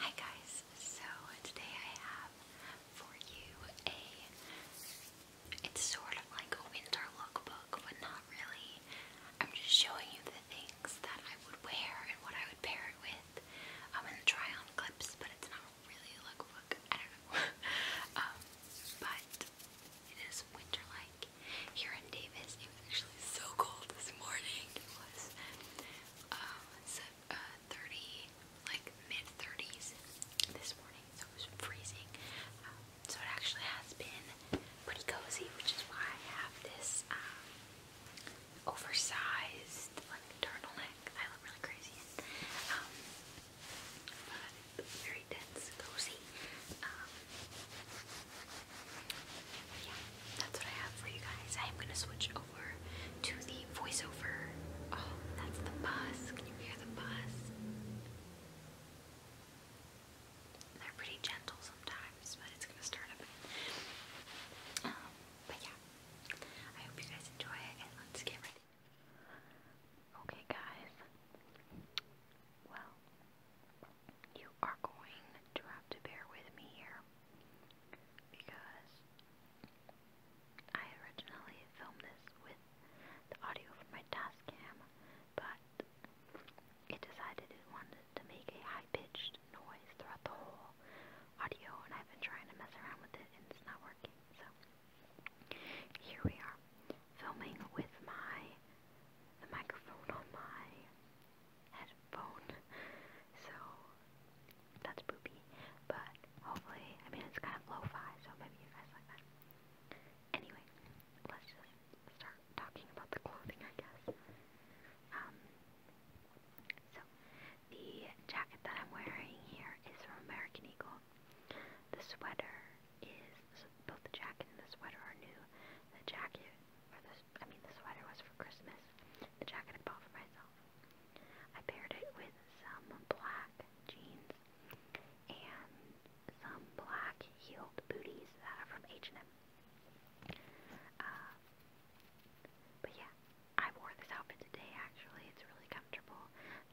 Hi guys, so today I have for you a, it's sort of like a winter lookbook, but not really. I'm just showing you the things that I would wear and what I would pair it with. I'm um, gonna try on clips, but it's not really a lookbook, I don't know. Um, but it is winter-like. Here in Davis, it was actually so cold this morning. Uh, uh, 30, like mid 30s this morning, so it was freezing. Um, so it actually has been pretty cozy, which is why I have this um, oversized like turtleneck. I look really crazy um, but very dense, cozy yeah, that's what I have for you guys. I am gonna switch over to the voiceover. Oh, that's the bus. Can you hear the bus? They're pretty gentle sometimes, but it's gonna start up. Um, but yeah, I hope you guys enjoy and let's get ready. Okay, guys. Well, you are going to have to bear with me here because I originally filmed this with the audio from my task cam, but it decided it wanted to make a high pitched noise throughout the whole audio, and I've been trying to mess around with it and it's not working. So here we are, filming with my the microphone on my headphone. So that's poopy. But hopefully, I mean, it's kind of lo fi, so maybe you guys like that. Anyway, let's just start talking about the clothing, I guess. Um, so, the jacket that I'm wearing here is from American Eagle. The sweater is so both the jacket and the sweater are new. The jacket or the I mean, the sweater was for Christmas. The jacket I bought for myself. I paired it with some black jeans and some black heeled booties that are from H&M. but yeah, I wore this outfit today actually. It's really comfortable.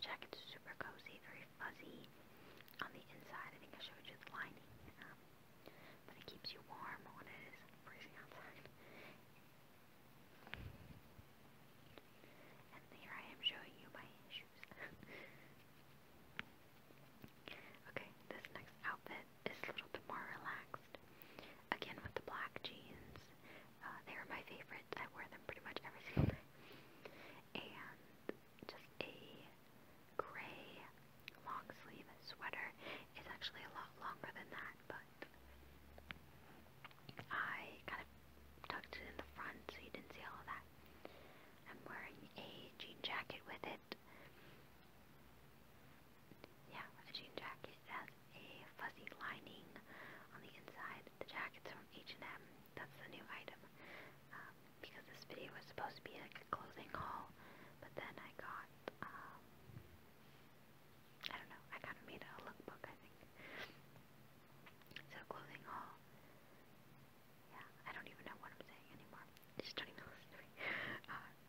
The jacket's super cozy, very fuzzy on the inside. I think I showed you the lining. Um, but it keeps you warm when it is freezing outside. And here I am showing you my shoes. okay, this next outfit is a little bit more relaxed. Again with the black jeans. Uh, they are my favorites. I wear them pretty much every single day. And just a gray long sleeve sweater. It's actually a lot longer than that, but I kind of tucked it in the front so you didn't see all of that. I'm wearing a jean jacket with it. Yeah, a jean jacket. has a fuzzy lining on the inside. The jacket's from H&M. That's the new item. Um, because this video was supposed to be like a clothing haul, but then I got um, I don't know, I kind of made a lookbook, I think. So, clothing haul. Yeah, I don't even know what I'm saying anymore. just don't even listen to me.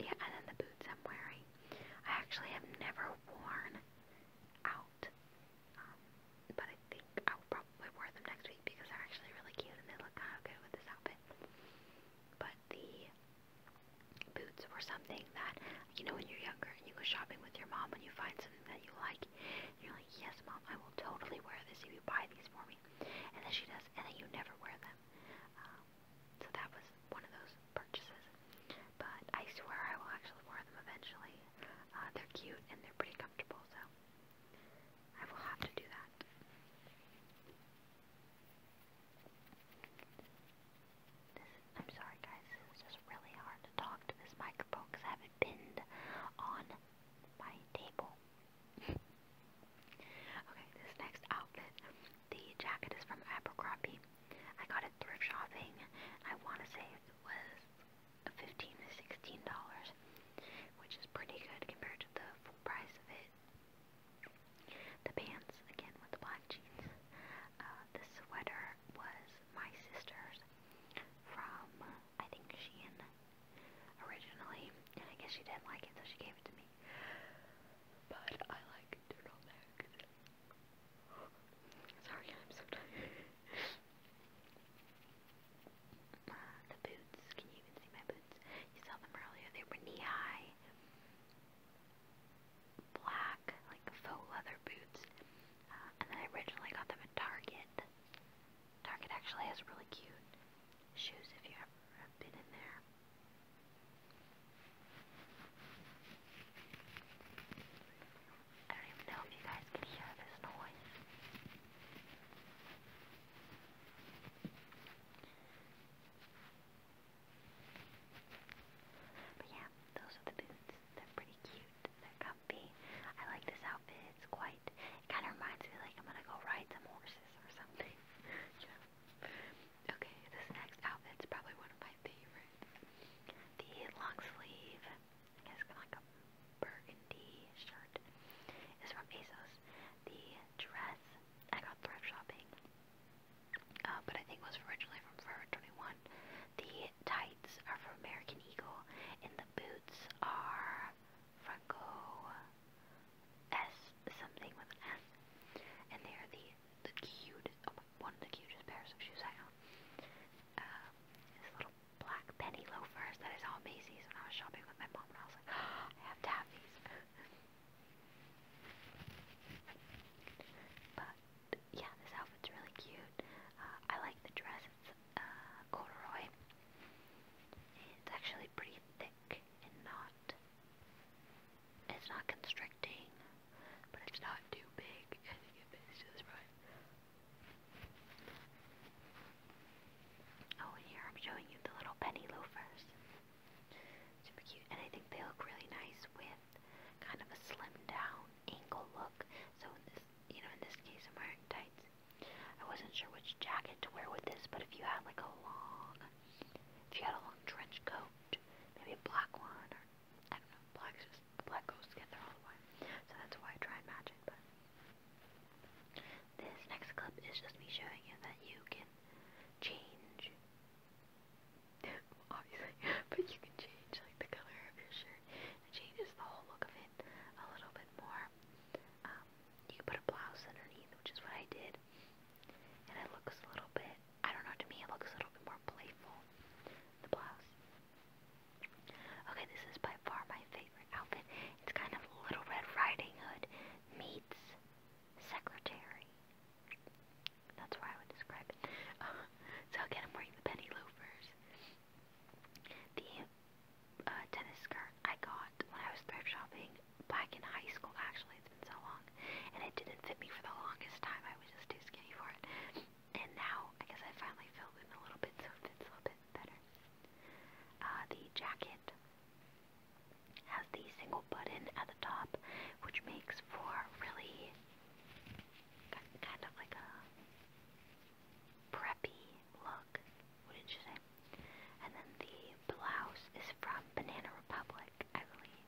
yeah, and then the boots I'm wearing. I actually have never worn out. Um, but I think I'll probably wear them next week because they're actually really cute and they look kind of good with this outfit but the boots were something that, you know, when you're younger and you go shopping with your mom and you find something that you like, and you're like, yes, mom, I will totally wear this if you buy these for me. And then she does, and then you never wear them. Um, so that was one of those purchases. But I swear I will actually wear them eventually. Uh, they're cute and they're pretty comfortable, so I will have to do that. I'm sorry guys, it's just really hard to talk to this microphone because I have it pinned on my table. okay, this next outfit, the jacket is from Abercrombie. I got it thrift shopping. I want to say it was $15 to $16, which is pretty good compared to the full price of it. The pants, again with the black jeans. Uh, the sweater was my sister's from, I think, Shein originally. I guess she didn't like it, so she gave it to me. But I like turtlenecks. Sorry, I'm so tired uh, the boots. Can you even see my boots? You saw them earlier. They were knee high, black, like faux leather boots. Uh, and then I got them at Target. Target actually has really cute shoes if you ever have been in there. I don't even know if you guys can hear this noise. But yeah, those are the boots. They're pretty cute. They're comfy. I like this outfit. It's quite, it kind of reminds me like I'm gonna go ride some horses or something. Okay, this next outfit's probably one of my favorites. The long sleeve, I guess kind of like a burgundy indie shirt is from ASOS. The dress I got thrift shopping, uh, but I think it was originally from Forever 21. The tights are from American Eagle, and the boots are Franco S something with an S, and they are the the cute oh, one of the cutest pairs of shoes I own. Uh, this little black penny loafers that I saw at Macy's when I was shopping with my mom when I was I have tabbies. but yeah, this outfit's really cute. Uh, I like the dress. It's uh, corduroy. It's actually pretty thick and not. It's not constricting, but it's not too big. Oh, here I'm showing you the little penny loafers. Super cute, and I think they look really nice with kind of a slimmed down ankle look. So in this, you know, in this case, I'm wearing tights. I wasn't sure which jacket to wear with this, but if you had like a long, if you had a long trench coat, maybe a black one, or I don't know, black just black goes together all the way. So that's why I try and match it. But this next clip is just me showing you that you can change. Obviously, but you can change like the color of your shirt. It the whole look of it a little bit more. Um, you can put a blouse underneath, which is what I did, and it looks a little bit. I don't know. To me, it looks a little bit more playful. The blouse. Okay, this is by far my favorite favorite outfit. It's kind of Little Red Riding Hood meets secretary. That's why I would describe it. Uh, so again, I'm wearing the penny loafers. The uh, tennis skirt I got when I was thrift shopping back in high school. Actually, it's been so long, and it didn't fit me for the longest time. I was just too skinny for it. And now, I guess I finally filled in a little bit, so it fits a little bit better. Uh, the jacket has the single button at the top, which makes for really kind of like a preppy look, wouldn't you say? And then the blouse is from Banana Republic, I believe.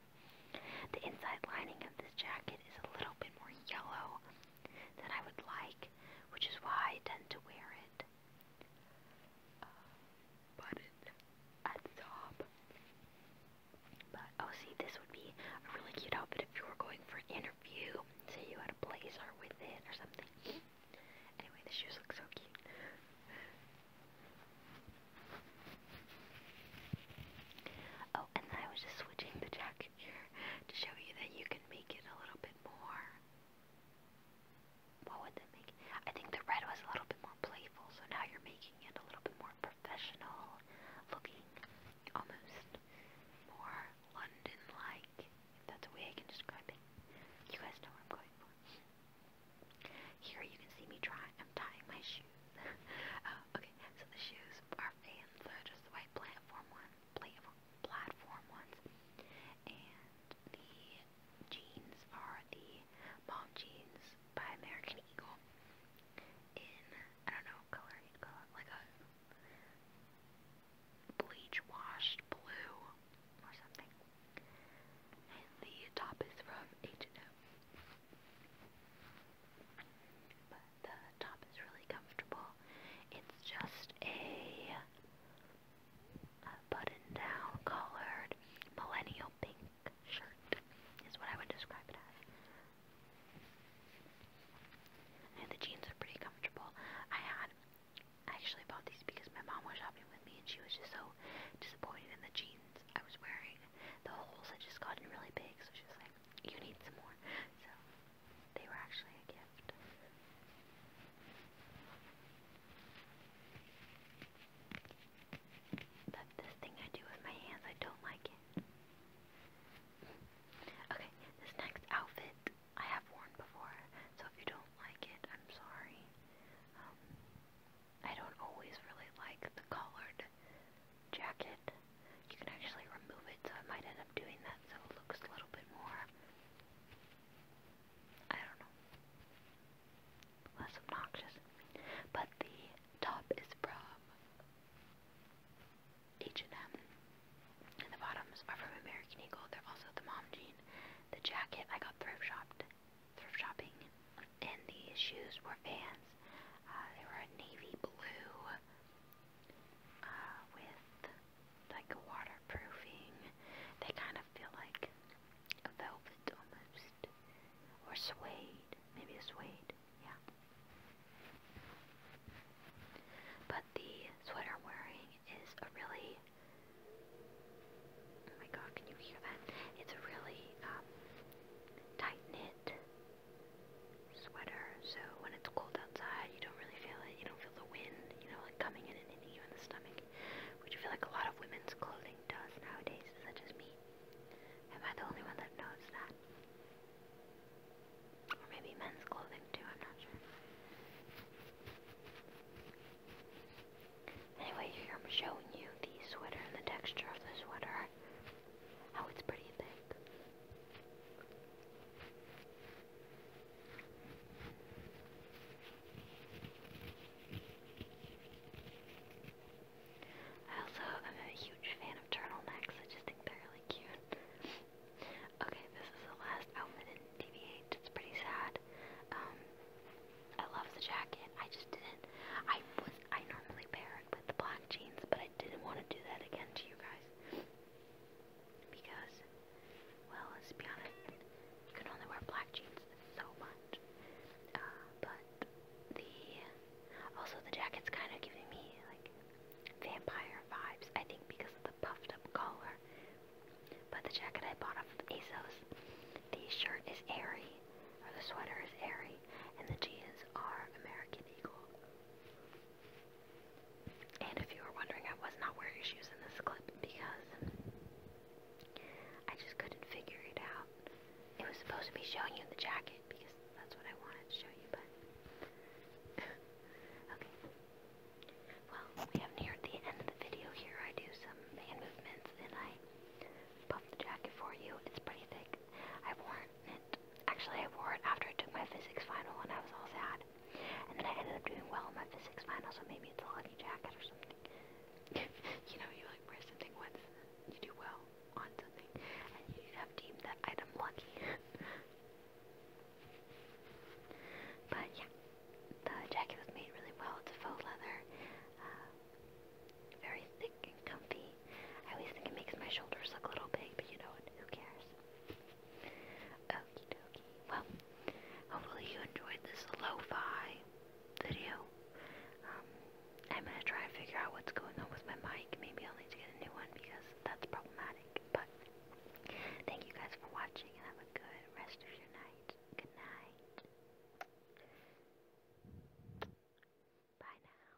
The inside lining of this jacket is a little bit more yellow than I would like, which is why I tend to wear it uh, button at the top. But oh, see, this would be a really cute outfit if you were going for an interview. Say you had a blazer with it or something. Anyway, the shoes look so cute. Oh, and then I was just switching the jacket here to show you that you can make it a little bit more what would that make? I think the red was a little bit more playful, so now you're making it a little bit more professional looking, almost more London-like, if that's a way I can describe it. You guys know what I'm going for. Here you can see me trying, I'm tying my shoes. Uh, okay, so the shoes are fans, so just the white platform one platform ones. And the jeans are the mom jeans by American Eagle in, I don't know color like a bleach washed blue or something. And the top is from H&M. But the top is really comfortable. It's just a a button-down collared millennial pink shirt is what I would describe it as. And the jeans are pretty comfortable. I had I actually bought these because my mom was shopping with me and she was just so disappointed in the jeans I was wearing. The holes had just gotten really big, so she was like, you need some more. So they were actually a gift. But this thing I do with my hands, I don't like it. Okay, this next outfit I have worn before, so if you don't like it, I'm sorry. Um, I don't always really like the collared jacket. You can actually remove it, so I might end up doing that so it looks a little bit more I don't know. Less obnoxious. But the top is from H&M. And the bottoms are from American Eagle. They're also the mom jean. The jacket I got thrift shopped. Thrift shopping. And the shoes were Vans. Uh, they were a navy blue uh, with like waterproofing. They kind of feel like a velvet almost, or suede, maybe a suede, yeah. But the sweater I'm wearing is a really, oh my god, can you hear that? It's a really um, tight knit sweater, so when it's cold outside, you don't really feel it. You don't feel the wind, you know, like coming in and hitting you in the stomach, which I feel like a lot of women's clothing does nowadays. Is that just me? Am I the only one that knows that? Or maybe men's clothing too, I'm not sure. Anyway, here I'm showing you the sweater and the texture of the sweater. How it's pretty thick. I also am a huge fan of turtlenecks, I just think they're really cute. okay, this is the last outfit in tv it's pretty sad. Um, I love the jacket, I just didn't, I was, I normally pair it with black jeans, but I didn't want to do that again to you guys. Because, well, let's be honest, you can only wear black jeans so much. Uh, but the, also the jacket's kind of giving me, like, vampire vibes, I think because of the puffed up collar. But the jacket I bought off of ASOS, the shirt is airy, or the sweater is airy, and the jeans are American Eagle. And if you were wondering, I was not wearing shoes in this clip because I just couldn't figure it out. It was supposed to be showing you the jacket because that's what I wanted to show you, but. okay. Well, we have neared the end of the video here. I do some hand movements and I puff the jacket for you. It's pretty thick. I've it, actually I wore it after I took my physics final and I was all sad. And then I ended up doing well in my physics final, so maybe it's a lucky jacket or something. you know, you like wear something once, you do well on something, and you have deemed that item lucky. but yeah, the jacket was made really well. It's a faux leather, uh, very thick and comfy. I always think it makes my shoulders look a little big, but you know what? Who cares? Okie dokie. Well, hopefully you enjoyed this lo video. Um, I'm gonna try and figure out what's going on with my mic. Maybe I'll need to get a new one because that's problematic. But thank you guys for watching have a good rest of your night. Good night. Bye now.